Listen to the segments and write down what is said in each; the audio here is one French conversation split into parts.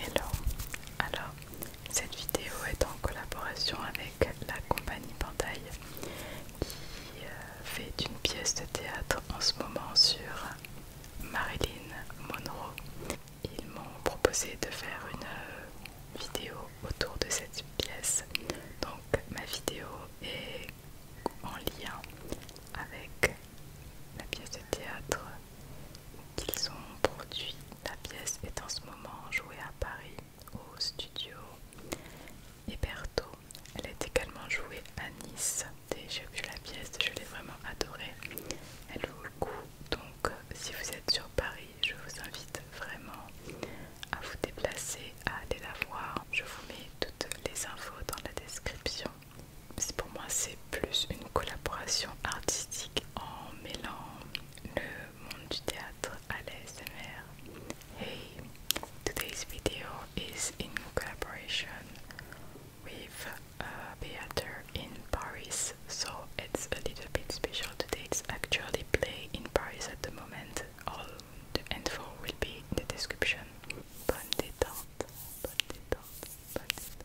Hello, alors cette vidéo est en collaboration avec la compagnie Pantail qui euh, fait une pièce de théâtre en ce moment sur Marilyn Monroe. Ils m'ont proposé de faire une euh, vidéo autour de cette pièce, donc ma vidéo est en lien avec la pièce de théâtre qu'ils ont produit. La pièce est en ce moment jouée à Paris au studio Hébertot. Elle est également jouée à Nice. que j'ai vu la pièce, je l'ai vraiment adorée. Elle vaut le coup. Donc si vous êtes sur Paris, je vous invite vraiment à vous déplacer, à aller la voir. Je vous mets toutes les infos dans la description pour moi c'est plus une collaboration artistique en mêlant le monde du théâtre à l'ASMR. Hey, today's video is in collaboration with a uh, theater in Paris, so it's a little bit special today. It's actually play in Paris at the moment. All the info will be in the description. Bonne détente, bonne détente, bonne détente.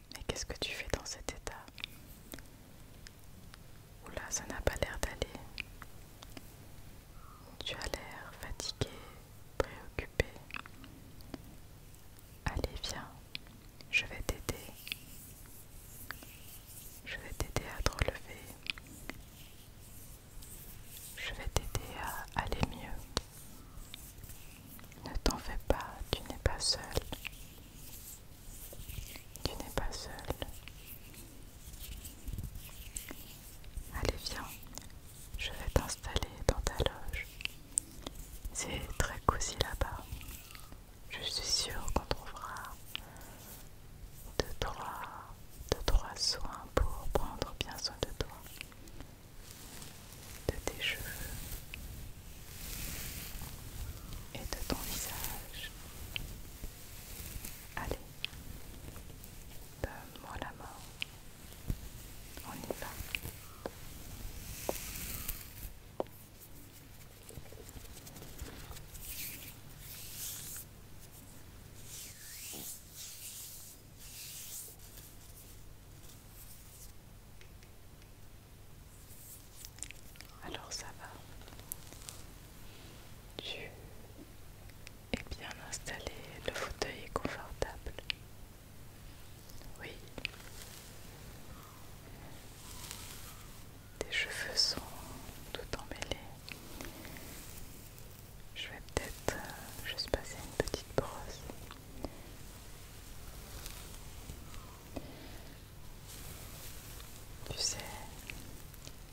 Mais qu'est-ce que tu fais dans cet état Oula, ça n'a pas l'air d'aller. Tu as l'air fatigué, préoccupé. Allez, viens, je vais t'aider. Je vais t'aider à te relever. Je vais t'aider à aller mieux. Ne t'en fais pas, tu n'es pas seul. Tu n'es pas seul. Allez, viens, je vais t'installer dans ta loge. C'est très cosy là-bas. Je suis sûre qu'on trouvera de trois, trois soins pour prendre bien soin de toi, de tes cheveux, et de ton visage. Allez, donne-moi la main. On y va. Alors ça va. Tu es bien installé, le fauteuil est confortable. Oui. Tes cheveux sont tout emmêlés. Je vais peut-être euh, juste passer une petite brosse. Tu sais,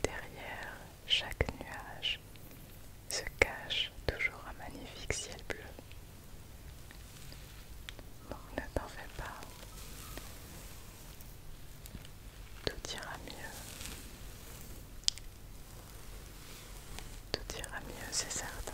derrière chaque nuage se cache toujours un magnifique ciel bleu. Bon, ne t'en fais pas. Tout ira mieux. Tout ira mieux, c'est certain.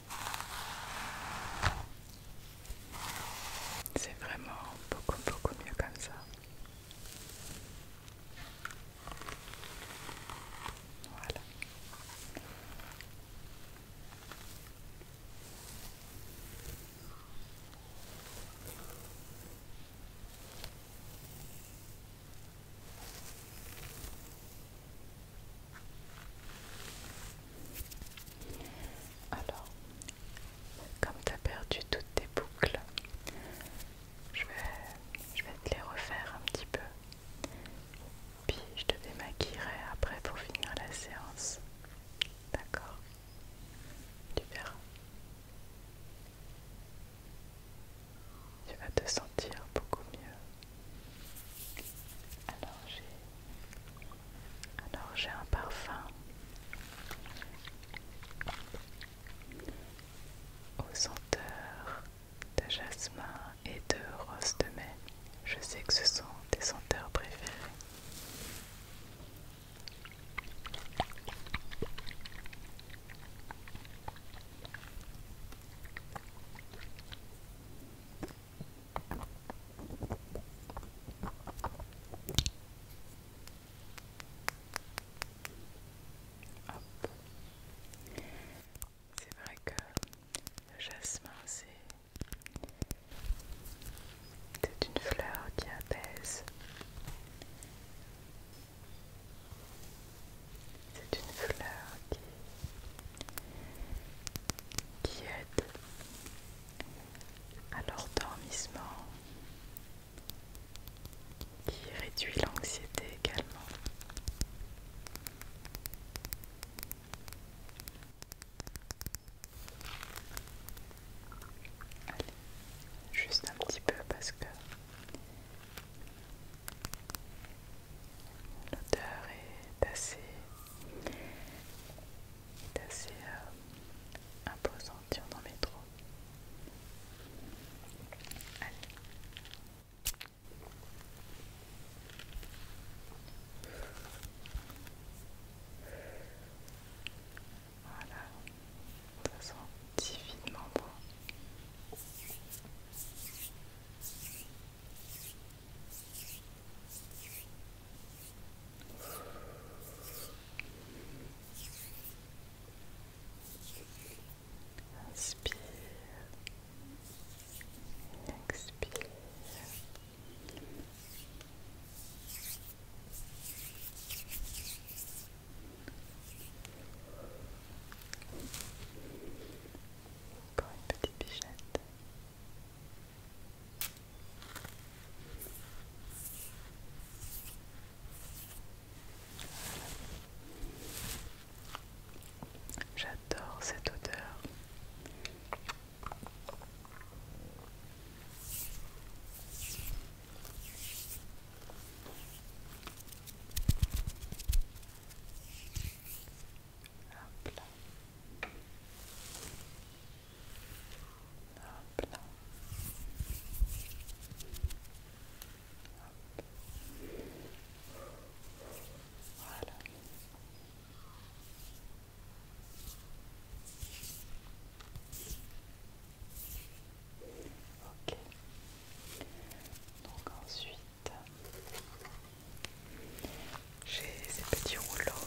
C'est vraiment beaucoup beaucoup mieux comme ça. Voilà. Alors, comme tu as perdu toutes tes boucles, je vais, je vais te les refaire un petit peu. Puis je te démaquillerai après pour finir la séance. D'accord Tu verras. Tu vas te sentir beaucoup mieux. Alors j'ai un parfum aux senteurs de jasmin et de rose de mai. Je sais que ce sont tes senteurs préférées. C'est vrai que le jasmin, c'est une fleur qui apaise. C'est une fleur qui, aide à l'endormissement, qui réduit l'anxiété également. Allez, juste un petit peu parce que l'odeur est assez c'est assez euh, imposant de dire dans le métro. Allez. Voilà, ça sent divinement bon. Inspire, expire. Encore une petite bichette. J'adore cette odeur. Hop là. Hop là. Voilà. Ok. Donc ensuite, j'ai ces petits rouleaux.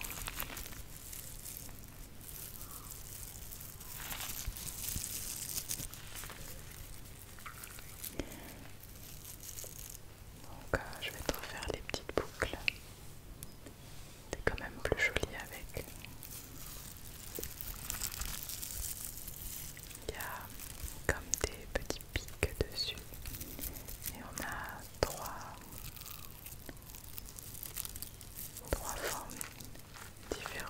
Donc euh, je vais te refaire les petites boucles. C'est quand même plus joli avec. Il y a comme des petits pique dessus. Et on a trois, trois formes différentes.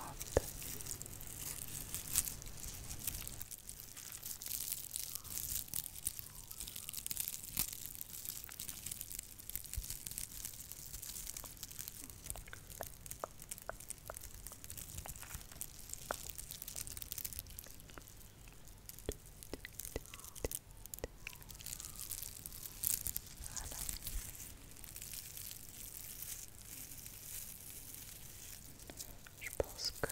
Je pense que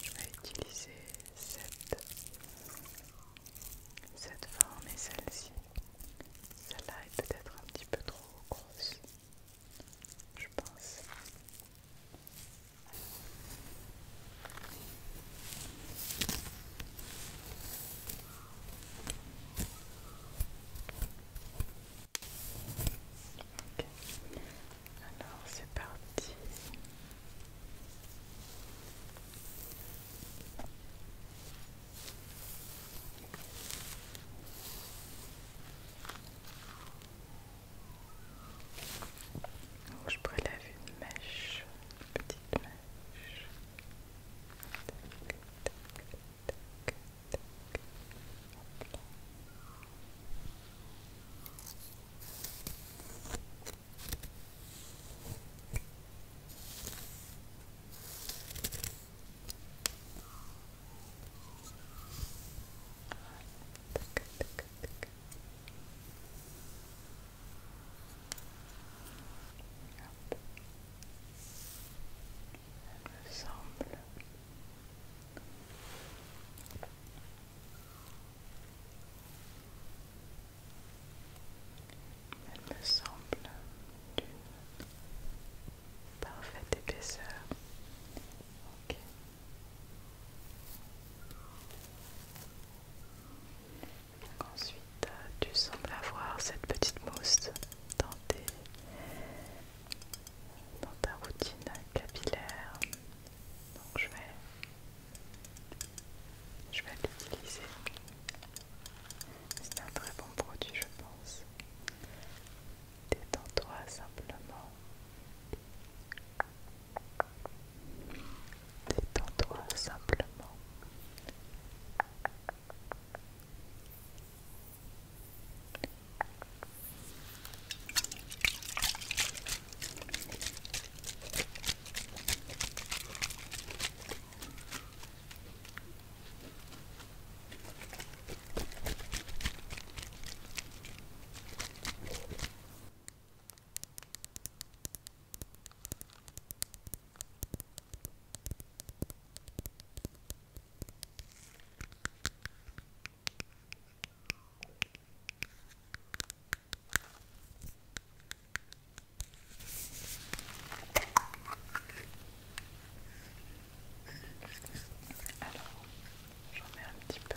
je vais utiliser cette, cette forme et celle-ci. Celle-là est peut-être un petit peu trop grosse, je pense. Alors c'est parti. Je prélève une mèche, une petite mèche. Tac, tac, tac, tac. Tac, tac, tac, elle me semble elle me semble d'une parfaite épaisseur Ensuite, tu sembles avoir cette petite mousse dans, dans ta routine capillaire. Donc je vais, je vais l'utiliser. C'est un très bon produit, je pense. Détends-toi simplement. Détends-toi simplement. Alors, j'en mets un petit peu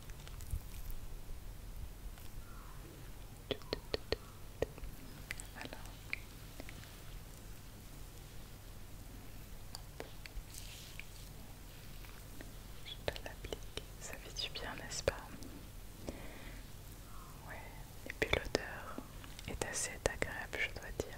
Je l'applique, ça fait du bien, n'est-ce pas Ouais, et puis l'odeur est assez agréable, je dois dire.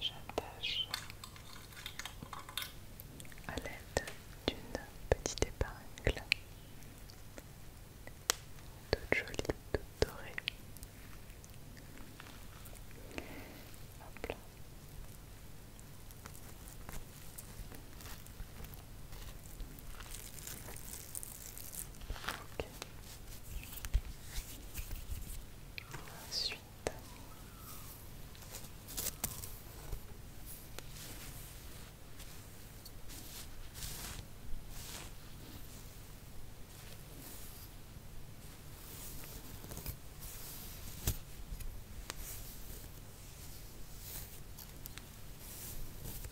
J'attache à l'aide d'une petite épingle toute jolie, toute dorée. Ok. Ensuite.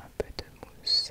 Un peu de mousse.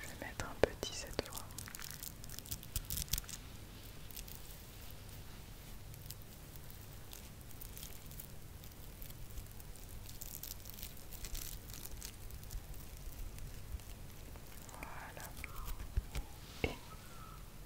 Je vais mettre un petit cette fois. Voilà.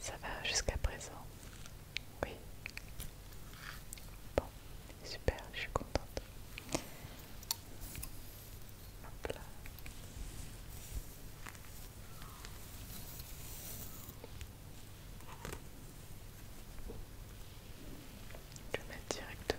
Ça va jusqu'à présent oui. Bon, super, je suis contente. là. Je vais mettre directement.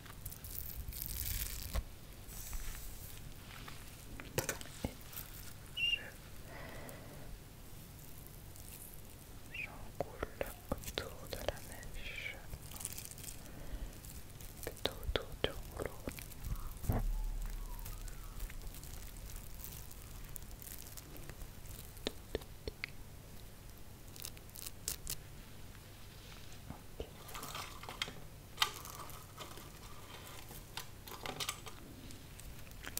Et je autour de la mèche, plutôt autour du rouleau.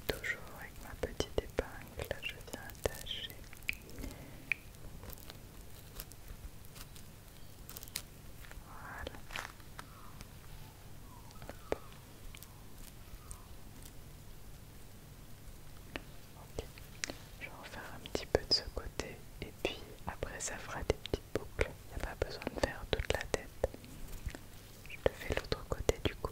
Toujours avec ma petite épingle, là je viens attacher. Voilà. Ok, je vais en faire un petit peu de ce côté et puis après ça fera des petites boucles. Il n'y a pas besoin de faire toute la tête. Je te fais l'autre côté du cou.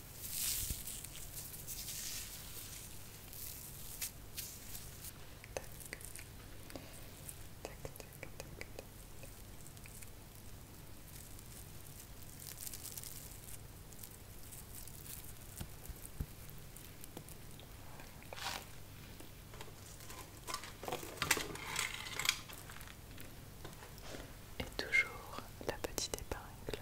Et toujours la petite épingle.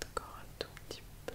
D'accord, Encore un tout petit peu.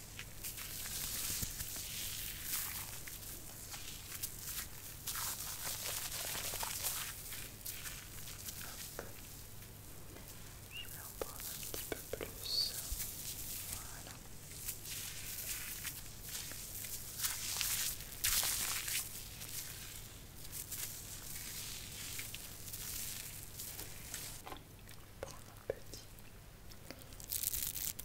Je vais en prendre un petit peu plus. Voilà. Prendre un petit.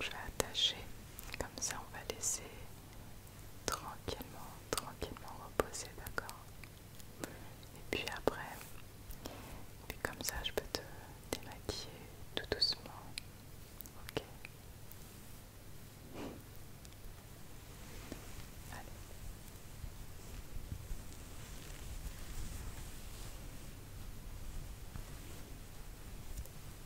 Je vais attacher, comme ça on va laisser tranquillement, tranquillement reposer, d'accord Et puis après, puis comme ça je peux te démaquiller tout doucement, ok Allez.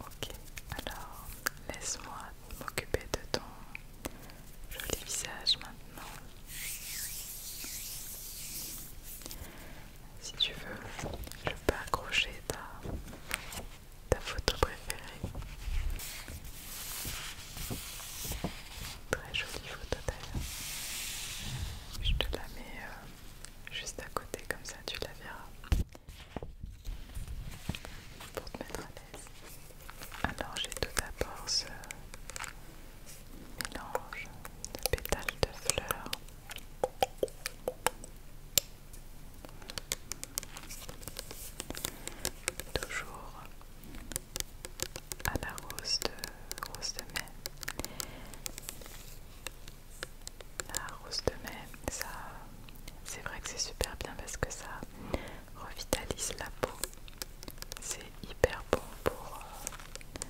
Ok, alors laisse-moi m'occuper de ton joli visage maintenant. Si tu veux, je peux accrocher ta photo préférée. Très jolie photo d'ailleurs. Je te la mets euh, juste à côté, comme ça tu la verras. Pour te mettre à l'aise. Alors j'ai tout d'abord ce mélange de pétales de fleurs. Toujours à la rose de, mai. La rose de mai, ça, c'est vrai que c'est super bien parce que ça revitalise la peau. C'est hyper bon pour euh,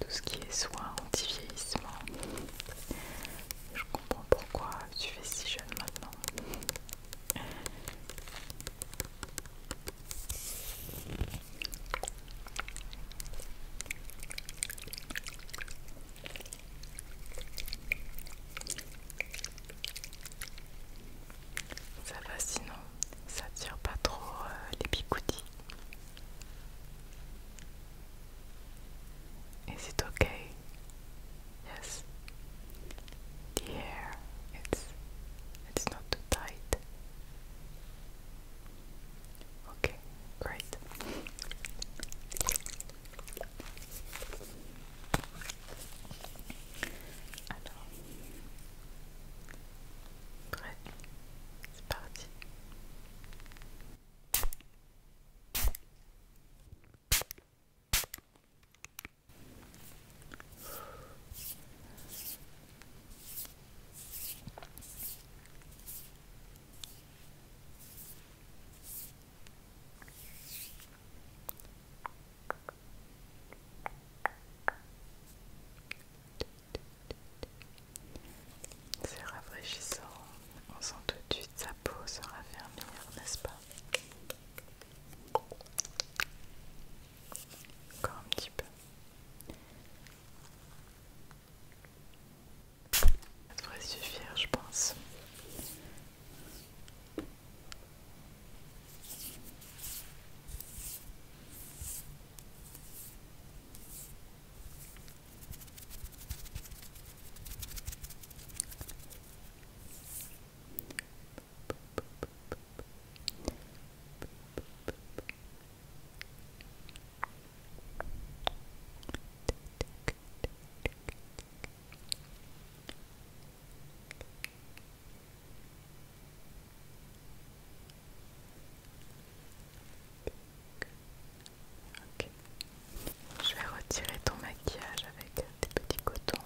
tout ce qui est soin anti-vieillissement. Je comprends pourquoi tu fais si jeune maintenant. Ça va sinon, ça tire pas trop euh, les picoutis. Is it okay? Yes. The it's it's not too tight. Okay, great. Alors, c'est parti. C'est rafraîchissant, on sent tout de suite sa peau se raffermir, n'est-ce pas encore un petit peu. Ça devrait suffire, je pense je vais retirer ton maquillage avec des petits cotons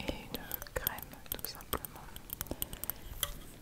et une crème tout simplement.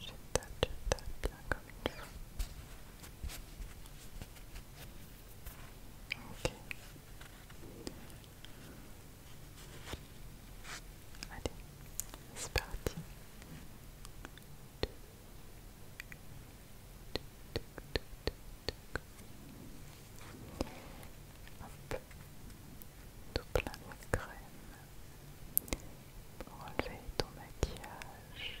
Should that, should that, not coming through. Okay. Allez, c'est parti. Hop. tout plein de crème pour enlever ton maquillage.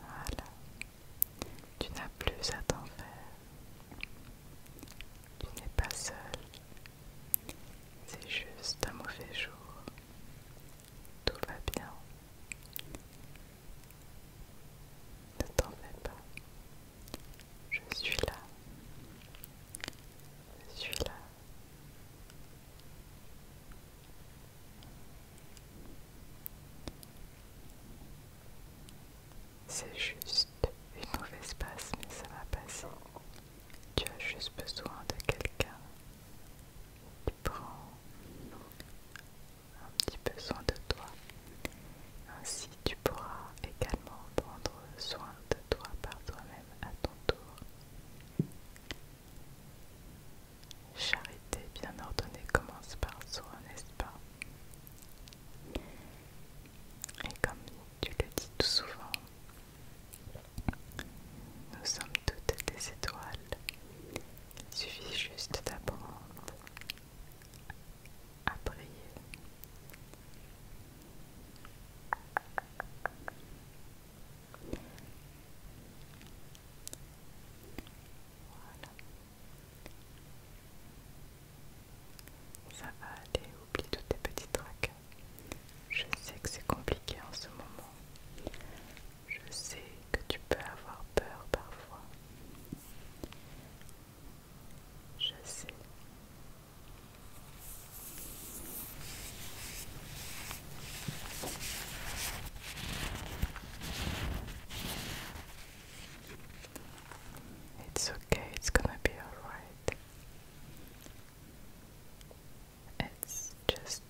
Voilà. Tu n'as plus à t'en faire. Tu n'es pas seul. C'est juste un mauvais jour. Tout va bien. Ne t'en fais pas. Je suis là. Je suis là c'est juste une mauvaise passe, mais ça va passer. Tu as juste besoin de quelqu'un qui prend un petit peu soin de toi. Ainsi, tu pourras également prendre soin de toi par toi-même à ton tour. Charité bien ordonnée commence par soi, n'est-ce pas Et comme tu le dis tout souvent, nous sommes toutes des étoiles. Il suffit juste d'apprendre à prier ça va aller, oublie tous tes petites tracas. Je sais que c'est compliqué en ce moment. Je sais que tu peux avoir peur parfois. Je sais It's okay, it's gonna be alright. It's just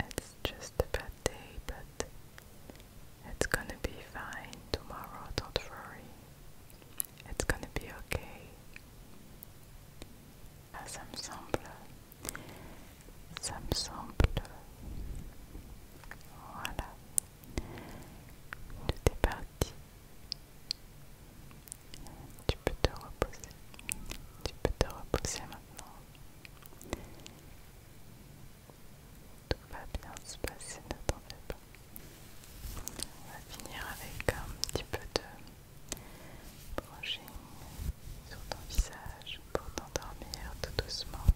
it's just a bad day, but it's gonna be fine tomorrow, don't worry. It's gonna be okay. ça me semble. Ça me semble. Voilà. Tout est parti. Tu peux te reposer. Tu peux te reposer maintenant. Tout va bien se passer, ne t'en fais pas. On va finir avec un petit peu de brushing sur ton visage pour t'endormir tout doucement.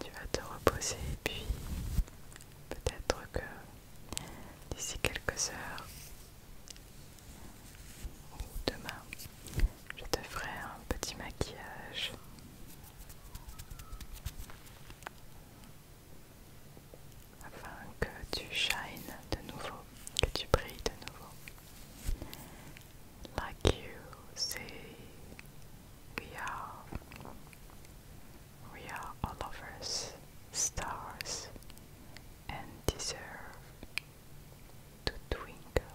Tu vas te reposer et puis peut-être que d'ici quelques heures ou demain, je te ferai un petit maquillage que tu shines de nouveau, que tu brilles de nouveau. Like you see, we are, we are all of us stars and deserve to twinkle.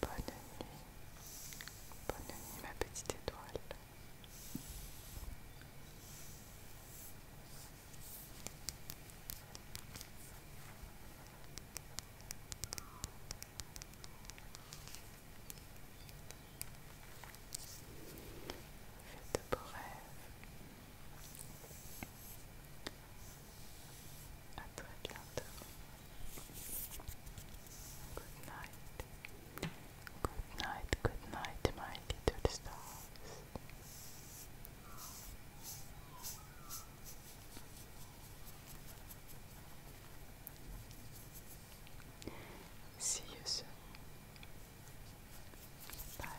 Bonne nuit, bonne nuit ma petite étoile. Faites de beaux rêves. à très bientôt. Good night. Good night, good night, my little stars. See you soon. Bye.